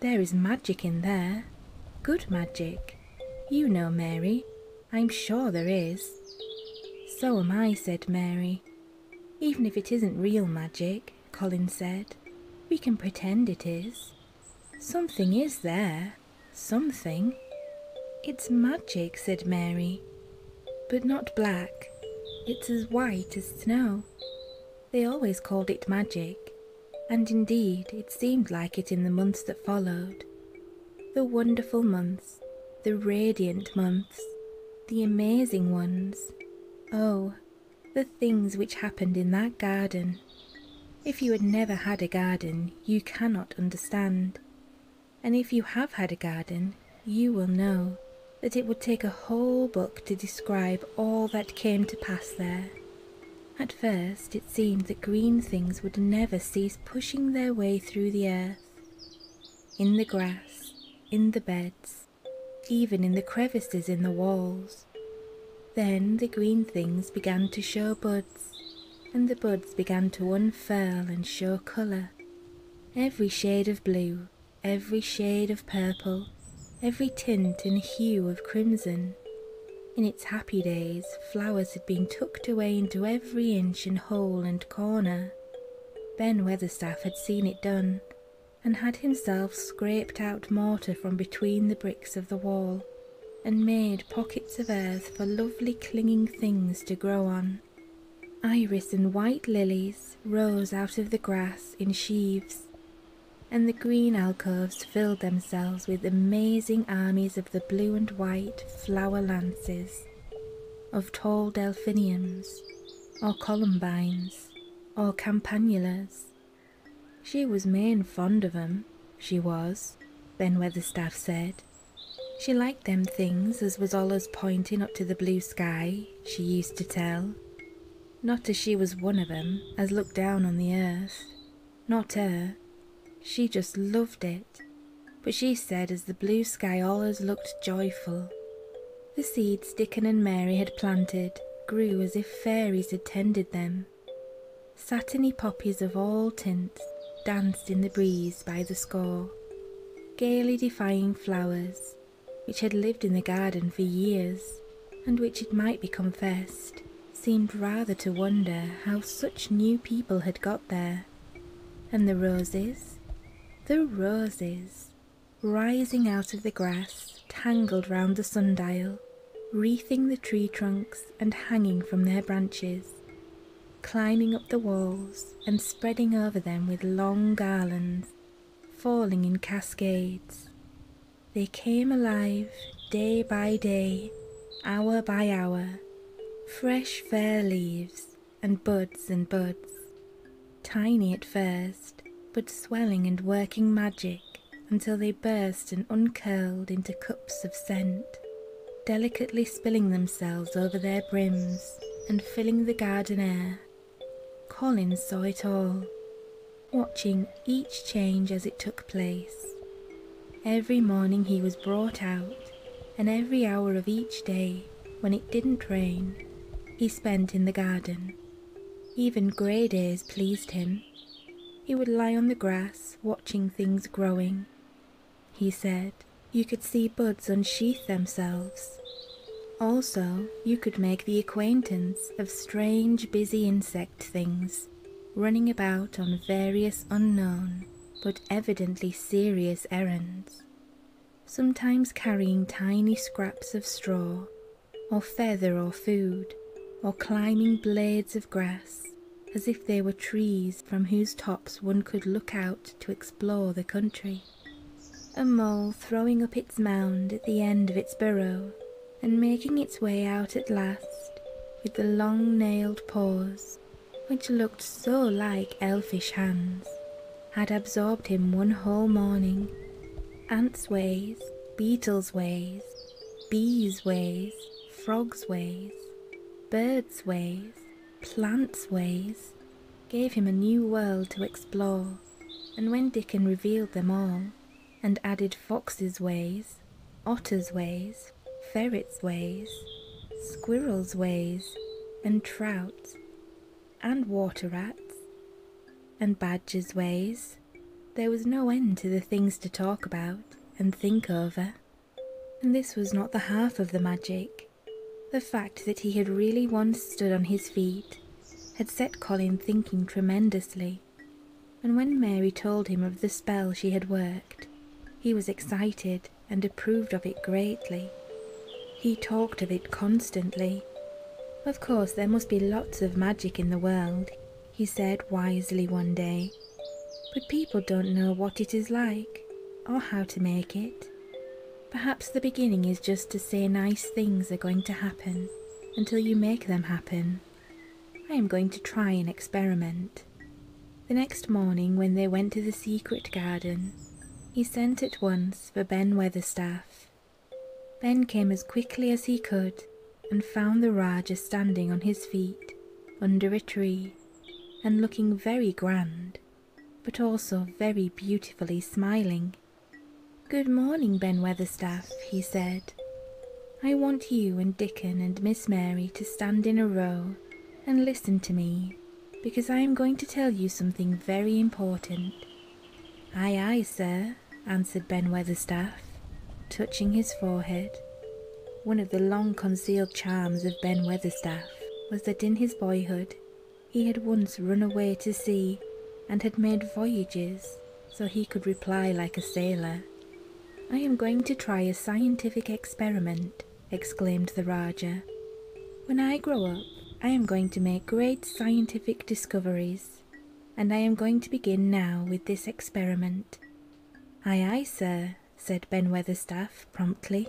there is magic in there. Good magic. You know, Mary. I'm sure there is. So am I, said Mary. Even if it isn't real magic, Colin said. We can pretend it is. Something is there. Something. It's magic, said Mary. But not black. It's as white as snow. They always called it magic, and indeed it seemed like it in the months that followed. The wonderful months, the radiant months, the amazing ones. Oh, the things which happened in that garden. If you had never had a garden, you cannot understand. And if you have had a garden, you will know that it would take a whole book to describe all that came to pass there. At first, it seemed that green things would never cease pushing their way through the earth, in the grass, in the beds, even in the crevices in the walls. Then the green things began to show buds, and the buds began to unfurl and show colour. Every shade of blue, every shade of purple, every tint and hue of crimson. In its happy days, flowers had been tucked away into every inch and hole and corner. Ben Weatherstaff had seen it done, and had himself scraped out mortar from between the bricks of the wall, and made pockets of earth for lovely clinging things to grow on. Iris and white lilies rose out of the grass in sheaves, and the green alcoves filled themselves with amazing armies of the blue and white flower lances, of tall delphiniums, or columbines, or campanulas, she was main fond of 'em, she was, Ben Weatherstaff said. She liked them things as was allus pointing up to the blue sky, she used to tell. Not as she was one of 'em as looked down on the earth. Not her. She just loved it. But she said as the blue sky allus looked joyful. The seeds Dickon and Mary had planted grew as if fairies had tended them. Satiny poppies of all tints danced in the breeze by the score, gaily defying flowers which had lived in the garden for years and which it might be confessed seemed rather to wonder how such new people had got there. And the roses? The roses! rising out of the grass, tangled round the sundial, wreathing the tree trunks and hanging from their branches, climbing up the walls and spreading over them with long garlands, falling in cascades. They came alive day by day, hour by hour, fresh fair leaves and buds and buds, tiny at first, but swelling and working magic until they burst and uncurled into cups of scent, delicately spilling themselves over their brims and filling the garden air. Colin saw it all, watching each change as it took place. Every morning he was brought out, and every hour of each day, when it didn't rain, he spent in the garden, even grey days pleased him. He would lie on the grass, watching things growing. He said you could see buds unsheath themselves. Also, you could make the acquaintance of strange, busy insect things running about on various unknown but evidently serious errands, sometimes carrying tiny scraps of straw or feather or food, or climbing blades of grass, as if they were trees from whose tops one could look out to explore the country. A mole throwing up its mound at the end of its burrow, and making its way out at last with the long nailed paws, which looked so like elfish hands, had absorbed him one whole morning Ants' ways, beetles' ways, bees' ways, frogs' ways, birds' ways, plants' ways, gave him a new world to explore, and when Dickon revealed them all, and added foxes' ways, otters' ways, ferrets' ways, squirrels' ways, and trout, and water rats and Badger's ways. There was no end to the things to talk about and think over. Eh? And this was not the half of the magic. The fact that he had really once stood on his feet had set Colin thinking tremendously, and when Mary told him of the spell she had worked, he was excited and approved of it greatly. He talked of it constantly, of course, there must be lots of magic in the world, he said wisely one day, but people don't know what it is like or how to make it. Perhaps the beginning is just to say nice things are going to happen until you make them happen. I am going to try an experiment. The next morning, when they went to the secret garden, he sent at once for Ben Weatherstaff. Ben came as quickly as he could and found the Rajah standing on his feet under a tree and looking very grand, but also very beautifully smiling. Good morning, Ben Weatherstaff, he said. I want you and Dickon and Miss Mary to stand in a row and listen to me, because I am going to tell you something very important. Aye, aye, sir, answered Ben Weatherstaff, touching his forehead. One of the long concealed charms of Ben Weatherstaff was that in his boyhood he had once run away to sea and had made voyages, so he could reply like a sailor. I am going to try a scientific experiment, exclaimed the Rajah. When I grow up, I am going to make great scientific discoveries and I am going to begin now with this experiment. Aye, aye, sir, said Ben Weatherstaff promptly,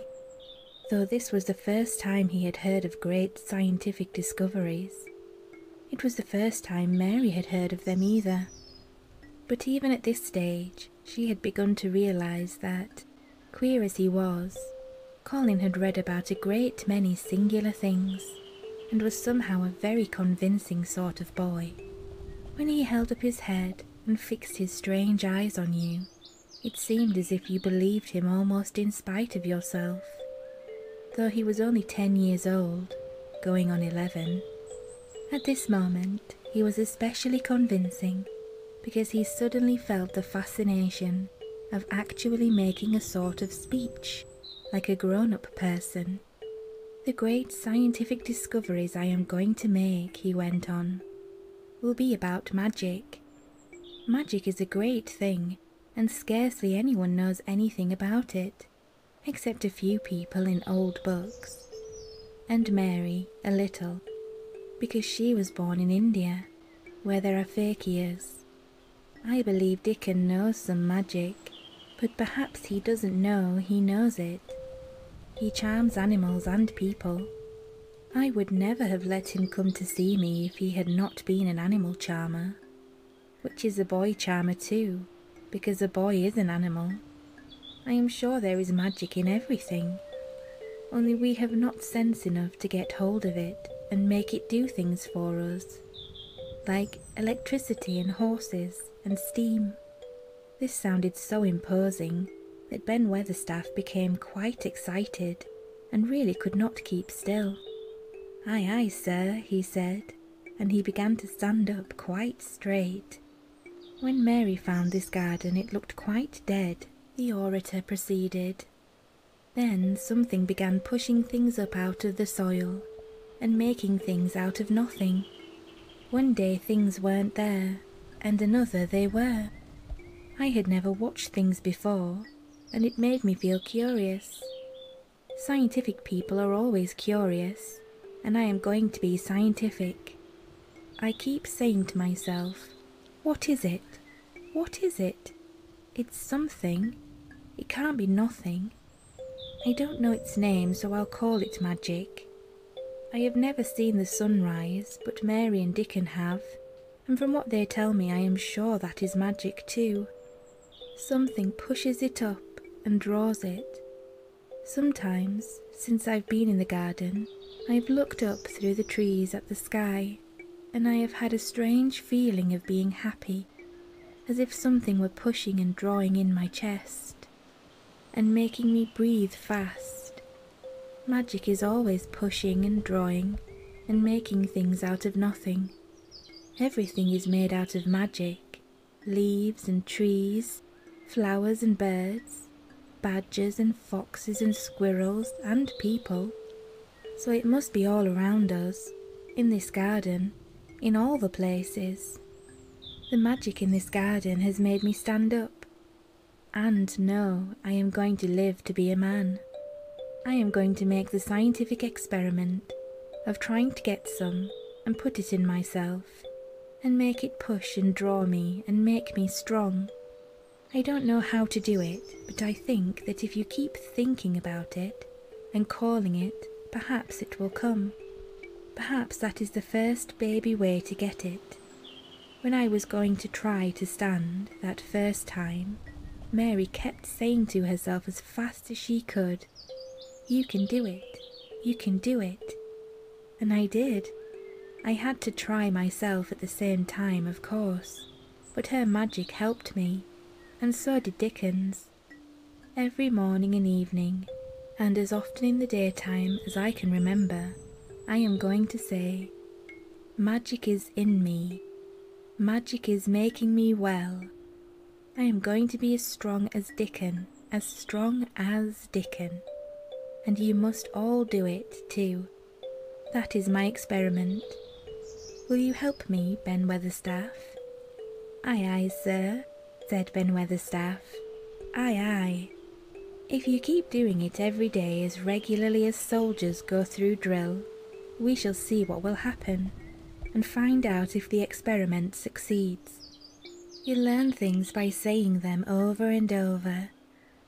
though this was the first time he had heard of great scientific discoveries. It was the first time Mary had heard of them either. But even at this stage, she had begun to realise that, queer as he was, Colin had read about a great many singular things and was somehow a very convincing sort of boy. When he held up his head and fixed his strange eyes on you, it seemed as if you believed him almost in spite of yourself. Though he was only ten years old, going on eleven, at this moment he was especially convincing because he suddenly felt the fascination of actually making a sort of speech like a grown up person. The great scientific discoveries I am going to make, he went on, will be about magic. Magic is a great thing, and scarcely anyone knows anything about it, except a few people in old books. And Mary, a little, because she was born in India, where there are fakirs I believe Dickon knows some magic, but perhaps he doesn't know he knows it. He charms animals and people. I would never have let him come to see me if he had not been an animal charmer, which is a boy charmer too, because a boy is an animal. I am sure there is magic in everything, only we have not sense enough to get hold of it and make it do things for us like electricity and horses and steam. This sounded so imposing that Ben Weatherstaff became quite excited and really could not keep still. Aye, aye, sir, he said, and he began to stand up quite straight. When Mary found this garden, it looked quite dead, the orator proceeded. Then something began pushing things up out of the soil and making things out of nothing. One day things weren't there, and another they were. I had never watched things before, and it made me feel curious. Scientific people are always curious, and I am going to be scientific. I keep saying to myself, What is it? What is it? It's something. It can't be nothing. I don't know its name, so I'll call it magic. I have never seen the sunrise, but Mary and Dickon have, and from what they tell me, I am sure that is magic too. Something pushes it up and draws it. Sometimes, since I've been in the garden, I've looked up through the trees at the sky, and I have had a strange feeling of being happy as if something were pushing and drawing in my chest, and making me breathe fast. Magic is always pushing and drawing, and making things out of nothing. Everything is made out of magic leaves and trees, flowers and birds, badgers and foxes and squirrels and people so it must be all around us, in this garden, in all the places. The magic in this garden has made me stand up and know I am going to live to be a man. I am going to make the scientific experiment of trying to get some and put it in myself and make it push and draw me and make me strong. I don't know how to do it, but I think that if you keep thinking about it, and calling it, perhaps it will come. Perhaps that is the first baby way to get it. When I was going to try to stand that first time, Mary kept saying to herself as fast as she could, You can do it, you can do it. And I did. I had to try myself at the same time, of course, but her magic helped me, and so did Dickens. Every morning and evening, and as often in the daytime as I can remember, I am going to say, Magic is in me. Magic is making me well. I am going to be as strong as Dickon, as strong as Dickon. And you must all do it, too. That is my experiment. Will you help me, Ben Weatherstaff? Aye, aye, sir, said Ben Weatherstaff. Aye, aye. If you keep doing it every day as regularly as soldiers go through drill, we shall see what will happen and find out if the experiment succeeds. You learn things by saying them over and over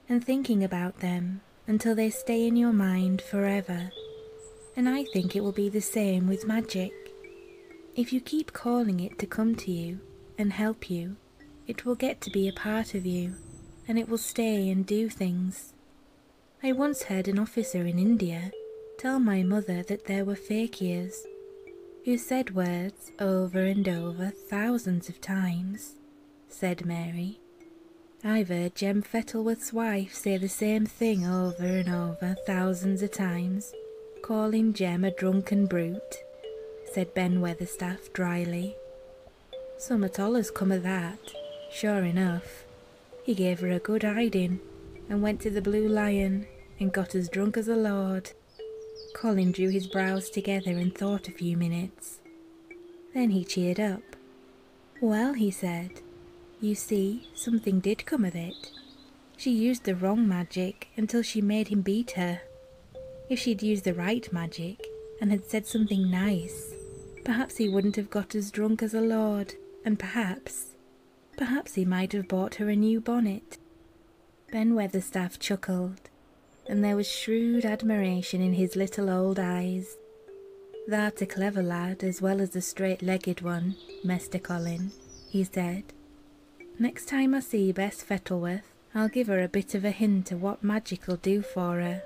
and thinking about them until they stay in your mind forever and I think it will be the same with magic. If you keep calling it to come to you and help you, it will get to be a part of you and it will stay and do things. I once heard an officer in India tell my mother that there were fakirs who said words over and over thousands of times, said Mary, I've heard Jem Fettleworth's wife say the same thing over and over thousands of times. Calling Jem a drunken brute, said Ben Weatherstaff dryly. Summat all has come o' that, sure enough. He gave her a good hiding, and went to the Blue Lion, and got as drunk as a lord. Colin drew his brows together and thought a few minutes. Then he cheered up, well, he said, you see, something did come of it. She used the wrong magic until she made him beat her. If she'd used the right magic and had said something nice, perhaps he wouldn't have got as drunk as a lord, and perhaps, perhaps he might have bought her a new bonnet. Ben Weatherstaff chuckled, and there was shrewd admiration in his little old eyes. Thou'rt a clever lad as well as a straight legged one, Mester Colin, he said. Next time I see Bess Fettleworth, I'll give her a bit of a hint of what magic'll do for her.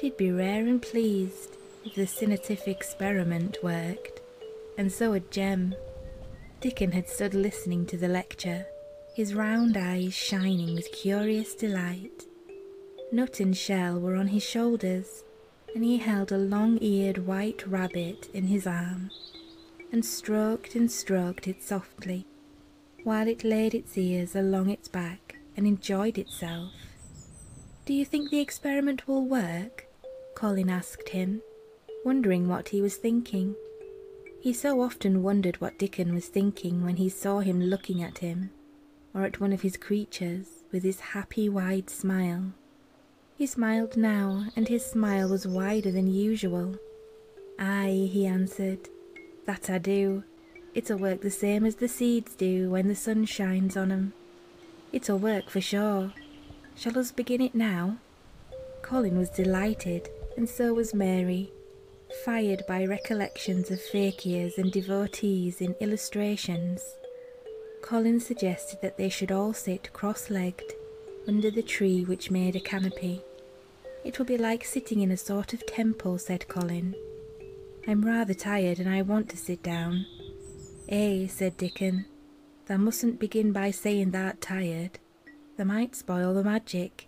She'd be rare and pleased if the scientific experiment worked, and so would Jem. Dickon had stood listening to the lecture, his round eyes shining with curious delight. Nut and shell were on his shoulders, and he held a long-eared white rabbit in his arm and stroked and stroked it softly while it laid its ears along its back and enjoyed itself. Do you think the experiment will work? Colin asked him, wondering what he was thinking. He so often wondered what Dickon was thinking when he saw him looking at him or at one of his creatures with his happy wide smile. He smiled now, and his smile was wider than usual. Ay, he answered, that I do. It'll work the same as the seeds do when the sun shines on 'em. It'll work for sure. Shall us begin it now? Colin was delighted, and so was Mary, fired by recollections of fakirs and devotees in illustrations, Collins suggested that they should all sit cross legged under the tree which made a canopy. It will be like sitting in a sort of temple, said Colin. I'm rather tired and I want to sit down. Eh, said Dickon, thou mustn't begin by saying thou'rt tired. Thou might spoil the magic.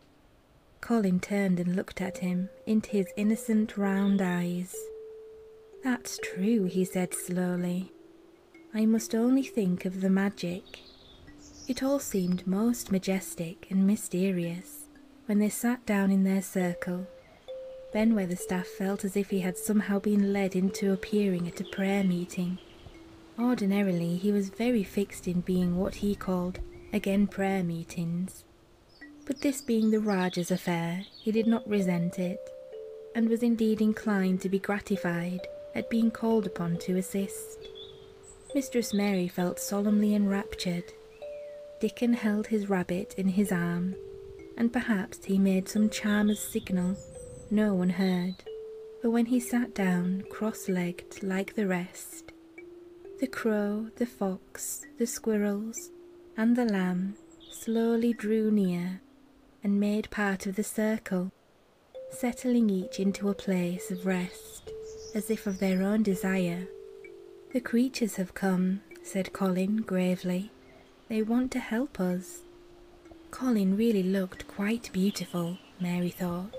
Colin turned and looked at him, into his innocent round eyes. That's true, he said slowly. I must only think of the magic. It all seemed most majestic and mysterious when they sat down in their circle. Ben Weatherstaff felt as if he had somehow been led into appearing at a prayer meeting. Ordinarily, he was very fixed in being what he called again prayer meetings, but this being the Rajah's affair, he did not resent it, and was indeed inclined to be gratified at being called upon to assist. Mistress Mary felt solemnly enraptured. Dickon held his rabbit in his arm, and perhaps he made some charmer's signal no one heard, for when he sat down cross legged like the rest, the crow, the fox, the squirrels, and the lamb slowly drew near and made part of the circle, settling each into a place of rest, as if of their own desire. The creatures have come, said Colin gravely. They want to help us. Colin really looked quite beautiful, Mary thought.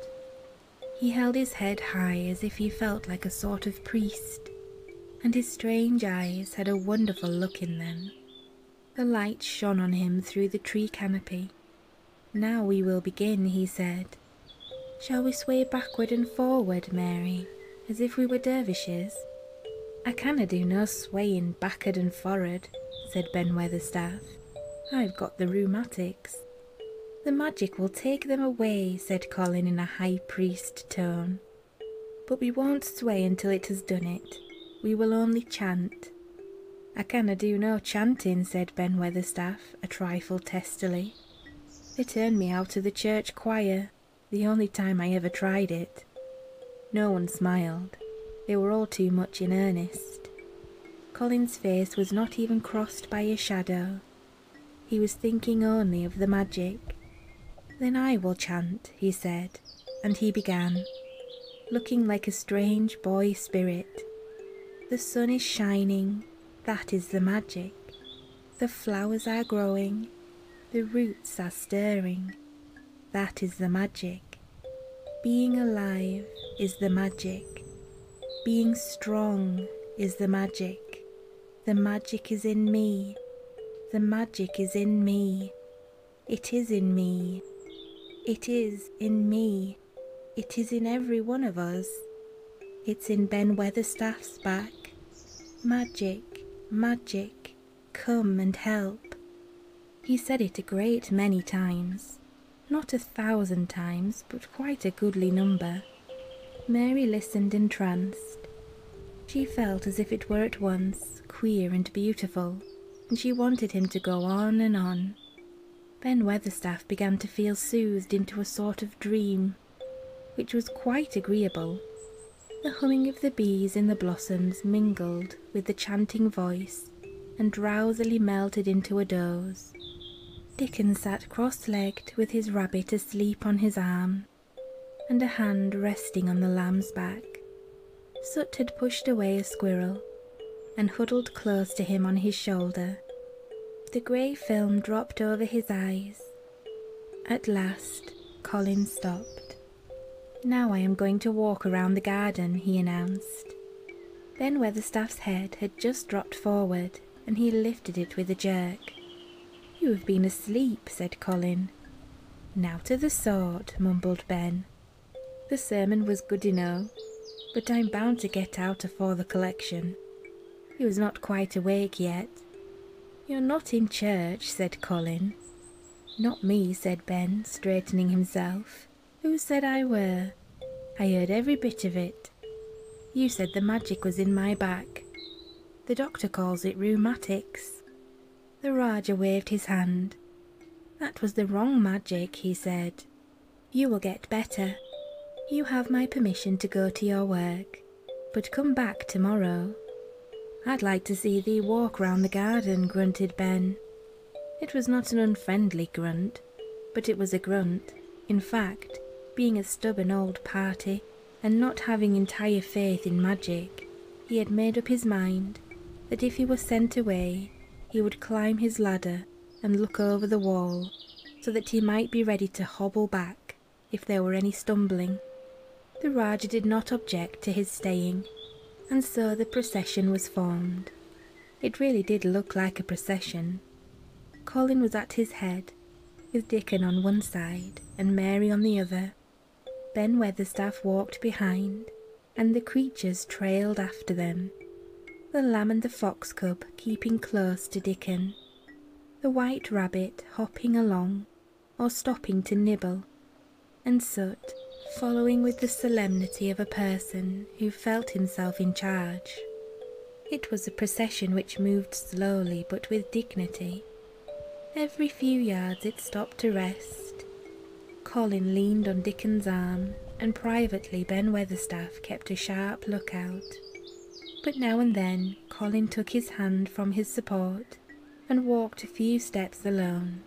He held his head high as if he felt like a sort of priest, and his strange eyes had a wonderful look in them. The light shone on him through the tree canopy. Now we will begin, he said. Shall we sway backward and forward, Mary, as if we were dervishes? I canna do no swaying backward and forward, said Ben Weatherstaff. I've got the rheumatics. The magic will take them away, said Colin in a high priest tone. But we won't sway until it has done it. We will only chant. I canna do no chanting, said Ben Weatherstaff, a trifle testily. They turned me out of the church choir, the only time I ever tried it. No one smiled. They were all too much in earnest. Colin's face was not even crossed by a shadow. He was thinking only of the magic. Then I will chant, he said, and he began, looking like a strange boy spirit. The sun is shining, that is the magic. The flowers are growing, the roots are stirring, that is the magic. Being alive is the magic. Being strong is the magic. The magic is in me. The magic is in me. It is in me. It is in me. It is in every one of us. It's in Ben Weatherstaff's back. Magic, magic, come and help. He said it a great many times. Not a thousand times, but quite a goodly number. Mary listened entranced. She felt as if it were at once queer and beautiful, and she wanted him to go on and on. Ben Weatherstaff began to feel soothed into a sort of dream, which was quite agreeable. The humming of the bees in the blossoms mingled with the chanting voice and drowsily melted into a doze. Dickon sat cross legged with his rabbit asleep on his arm and a hand resting on the lamb's back. Soot had pushed away a squirrel and huddled close to him on his shoulder. The grey film dropped over his eyes. At last, Colin stopped. Now I am going to walk around the garden, he announced. Then Weatherstaff's head had just dropped forward and he lifted it with a jerk. You have been asleep, said Colin. Now to the sort, mumbled Ben. The sermon was good enough, but I'm bound to get out afore the collection. He was not quite awake yet. You're not in church, said Colin. Not me, said Ben, straightening himself. Who said I were? I heard every bit of it. You said the magic was in my back. The doctor calls it rheumatics. The Raja waved his hand. That was the wrong magic, he said. You will get better. You have my permission to go to your work, but come back tomorrow. I'd like to see thee walk round the garden, grunted Ben. It was not an unfriendly grunt, but it was a grunt. In fact, being a stubborn old party, and not having entire faith in magic, he had made up his mind that if he were sent away, he would climb his ladder and look over the wall so that he might be ready to hobble back if there were any stumbling. The rajah did not object to his staying, and so the procession was formed. It really did look like a procession. Colin was at his head, with Dickon on one side and Mary on the other, Ben Weatherstaff walked behind, and the creatures trailed after them, the lamb and the fox cub keeping close to Dickon, the white rabbit hopping along or stopping to nibble, and Soot following with the solemnity of a person who felt himself in charge. It was a procession which moved slowly but with dignity Every few yards it stopped to rest. Colin leaned on Dickon's arm, and privately Ben Weatherstaff kept a sharp lookout. But now and then Colin took his hand from his support and walked a few steps alone.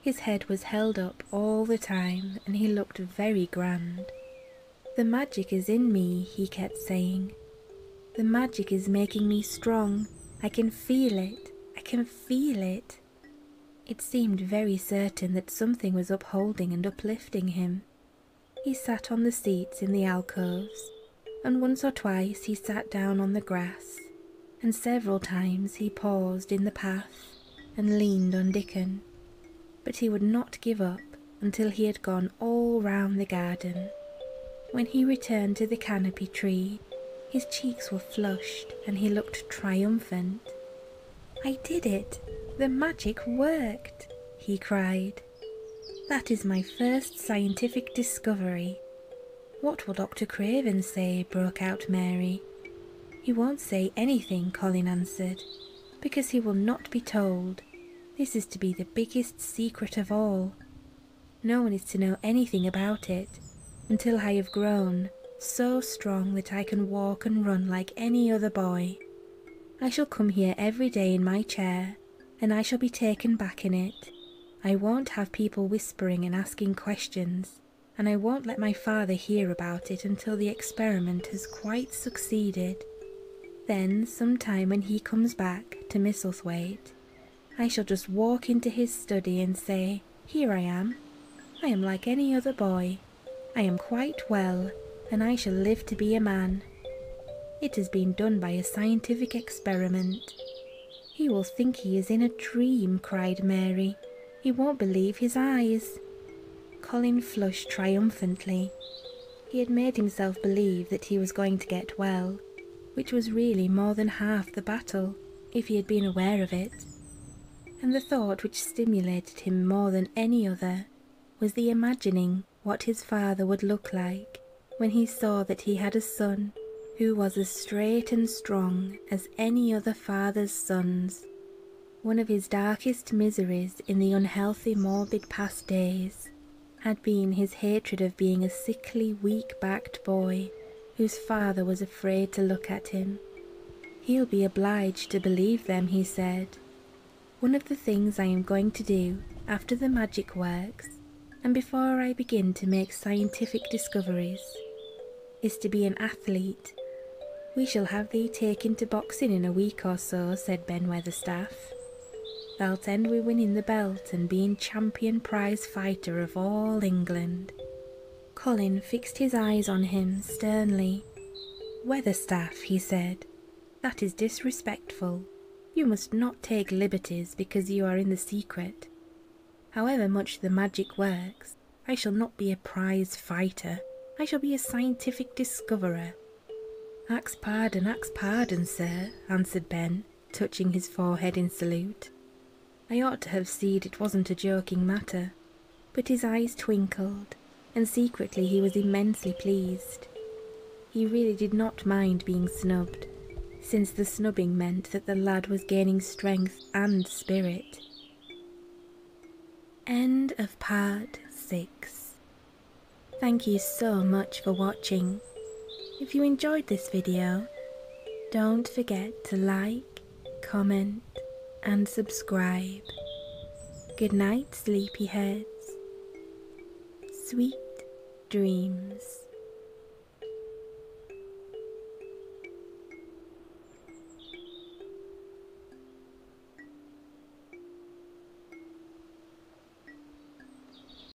His head was held up all the time, and he looked very grand. The magic is in me, he kept saying, the magic is making me strong. I can feel it. I can feel it. It seemed very certain that something was upholding and uplifting him. He sat on the seats in the alcoves, and once or twice he sat down on the grass, and several times he paused in the path and leaned on Dickon. But he would not give up until he had gone all round the garden. When he returned to the canopy tree, his cheeks were flushed and he looked triumphant. I did it! The magic worked! he cried. That is my first scientific discovery. What will Dr. Craven say? broke out Mary. He won't say anything, Colin answered, because he will not be told. This is to be the biggest secret of all. No one is to know anything about it until I have grown so strong that I can walk and run like any other boy. I shall come here every day in my chair, and I shall be taken back in it. I won't have people whispering and asking questions, and I won't let my father hear about it until the experiment has quite succeeded. Then, some time when he comes back to Misselthwaite, I shall just walk into his study and say, Here I am. I am like any other boy. I am quite well, and I shall live to be a man. It has been done by a scientific experiment. He will think he is in a dream, cried Mary. He won't believe his eyes. Colin flushed triumphantly. He had made himself believe that he was going to get well, which was really more than half the battle, if he had been aware of it. And the thought which stimulated him more than any other was the imagining what his father would look like when he saw that he had a son who was as straight and strong as any other father's sons. One of his darkest miseries in the unhealthy morbid past days had been his hatred of being a sickly, weak backed boy whose father was afraid to look at him. He'll be obliged to believe them, he said. One of the things I am going to do after the magic works, and before I begin to make scientific discoveries, is to be an athlete. We shall have thee taken to boxing in a week or so, said Ben Weatherstaff. Thou'lt end wi' winning the belt and being champion prize fighter of all England. Colin fixed his eyes on him sternly. Weatherstaff, he said, that is disrespectful. You must not take liberties because you are in the secret. However much the magic works, I shall not be a prize fighter. I shall be a scientific discoverer. Ax pardon, ax pardon, sir, answered Ben touching his forehead in salute. I ought to have seen it wasn't a joking matter, but his eyes twinkled, and secretly he was immensely pleased. He really did not mind being snubbed, since the snubbing meant that the lad was gaining strength and spirit. End of part 6. Thank you so much for watching. If you enjoyed this video, don't forget to like, comment, and subscribe. Good night, sleepyheads. Sweet dreams.